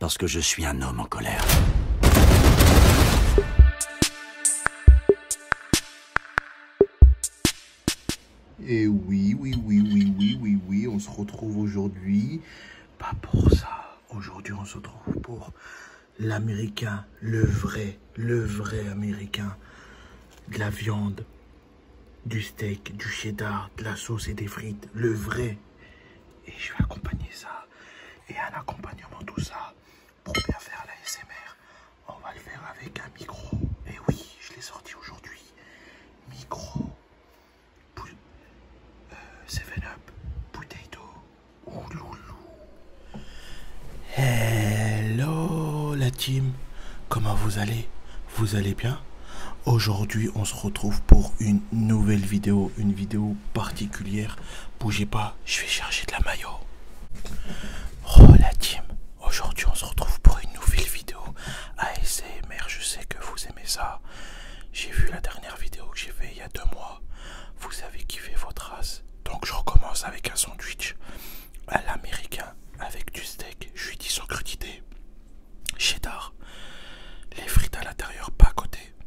Parce que je suis un homme en colère. Et oui, oui, oui, oui, oui, oui, oui, on se retrouve aujourd'hui, pas pour ça. Aujourd'hui, on se retrouve pour l'américain, le vrai, le vrai américain. De la viande, du steak, du cheddar, de la sauce et des frites, le vrai. Et je vais accompagner ça. Et un accompagnement tout ça, pour bien faire la SMR, on va le faire avec un micro. Et oui, je l'ai sorti aujourd'hui. Micro, 7-Up, euh, Potato, Ouloulou. Hello la team, comment vous allez Vous allez bien Aujourd'hui, on se retrouve pour une nouvelle vidéo, une vidéo particulière. Bougez pas, je vais chercher de la maillot. Oh team, aujourd'hui on se retrouve pour une nouvelle vidéo ASMR, je sais que vous aimez ça. J'ai vu la dernière vidéo que j'ai fait il y a deux mois, vous avez kiffé votre race. Donc je recommence avec un sandwich à l'américain avec du steak, je lui dis sans crudité, cheddar, les frites à l'intérieur pas à côté,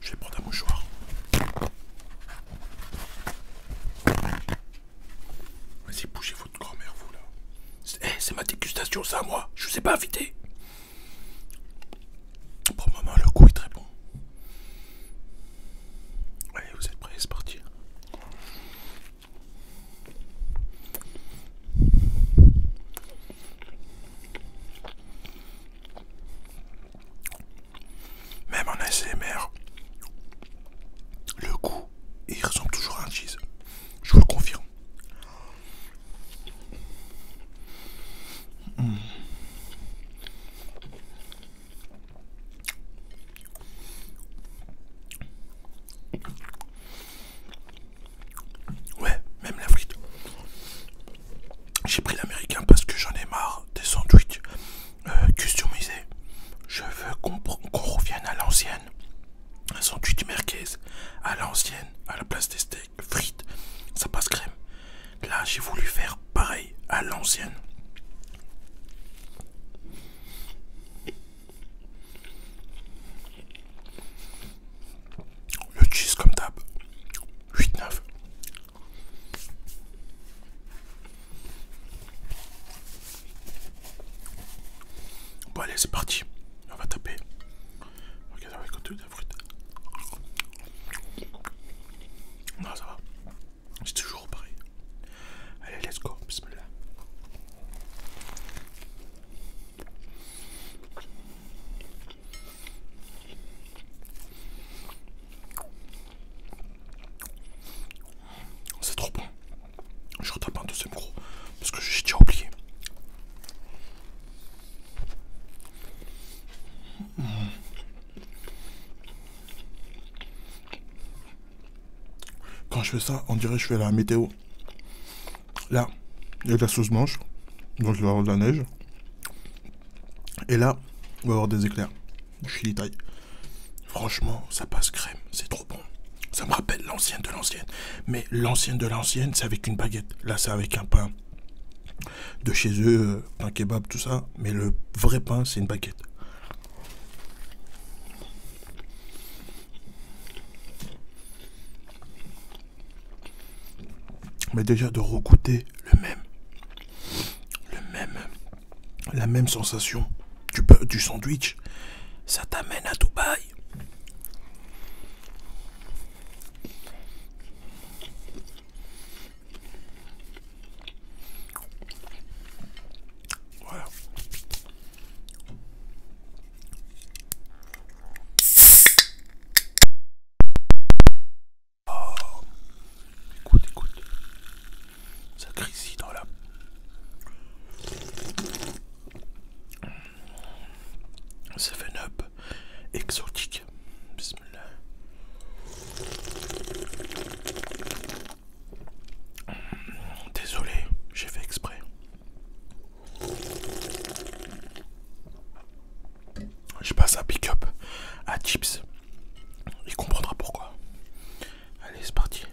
Je vais prendre un mouchoir. Vas-y, bougez votre grand-mère, vous là. Eh, c'est ma dégustation, ça, moi. Je vous ai pas invité. Pour le moment, le goût est très bon. Allez, vous êtes prêts, c'est parti. Même en ASMR, le goût, il ressemble toujours à un cheese. Je vous le confirme. Ouais, même la frite. J'ai pris l'américain parce que j'en ai marre des sandwichs euh, customisés. Je veux qu'on revienne à l'ancienne. Un sandwich merguez à l'ancienne, à la place des steaks, frites, ça passe crème. Là, j'ai voulu faire pareil à l'ancienne. Le cheese comme d'hab, 8-9. Bon allez c'est parti, on va taper. Ok avec le de la fruite Non ça va, c'est toujours pareil. Allez let's go, c'est trop bon. Je retape un deuxième gros parce que j'ai déjà oublié. Quand je fais ça, on dirait que je fais la météo. Là, il y a de la sauce manche, donc il va y avoir de la neige. Et là, on va avoir des éclairs, Je suis taille. Franchement, ça passe crème, c'est trop bon. Ça me rappelle l'ancienne de l'ancienne. Mais l'ancienne de l'ancienne, c'est avec une baguette. Là, c'est avec un pain de chez eux, euh, pain kebab, tout ça. Mais le vrai pain, c'est une baguette. Mais déjà de regoûter le même, le même, la même sensation du, du sandwich, ça t'amène à Dubaï. Voilà. Oh. Écoute, écoute. Ça ici dans la... Seven Up exotique. Bismillah. Désolé, j'ai fait exprès. Je passe à pick up à chips. Il comprendra pourquoi. Allez, c'est parti.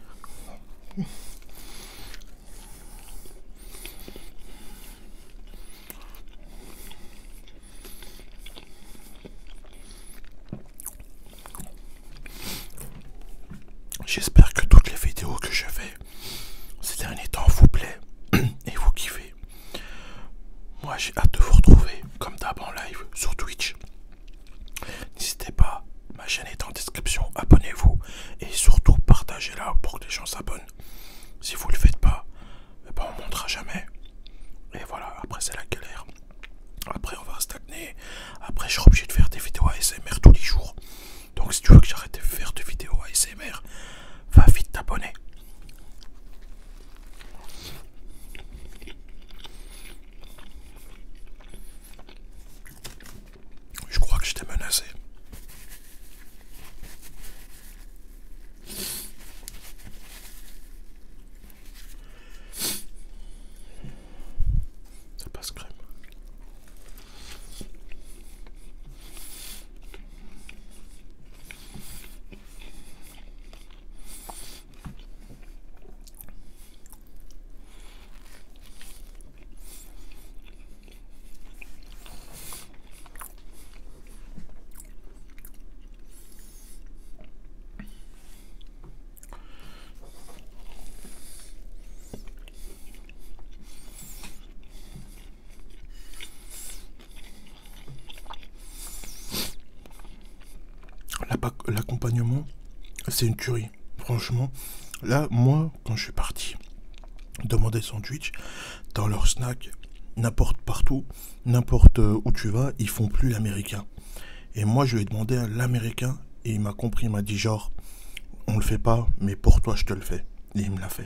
J'espère que toutes les vidéos que je fais ces derniers temps vous plaît et vous kiffez. Moi j'ai hâte de vous retrouver comme d'hab en live sur Twitch. N'hésitez pas, ma chaîne est en description, abonnez-vous et surtout partagez-la pour que les gens s'abonnent. Si vous le faites pas, eh ben, on ne montrera jamais. Et voilà, après c'est la galère. Après on va stagner. Après je serai obligé de faire des vidéos ASMR tous les jours. Donc si tu veux que j'arrête de faire des vidéos ASMR, va vite t'abonner. Je crois que je t'ai menacé. Ça passe crème. L'accompagnement, c'est une tuerie. Franchement, là, moi, quand je suis parti demander sandwich, dans leur snack, n'importe partout, n'importe où tu vas, ils font plus l'américain. Et moi, je lui ai demandé à l'américain et il m'a compris. Il m'a dit genre, on le fait pas, mais pour toi, je te le fais. Et il me l'a fait.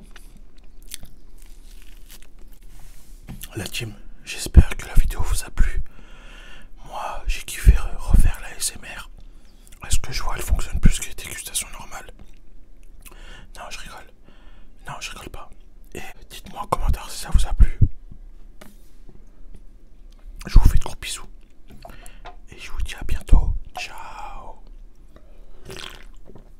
La team, j'espère que la vidéo vous a plu. Moi, j'ai kiffé refaire la SMR. Est-ce que je vois, elle fonctionne plus que les dégustations normales Non, je rigole. Non, je rigole pas. Et dites-moi en commentaire si ça vous a plu. Je vous fais de gros bisous. Et je vous dis à bientôt. Ciao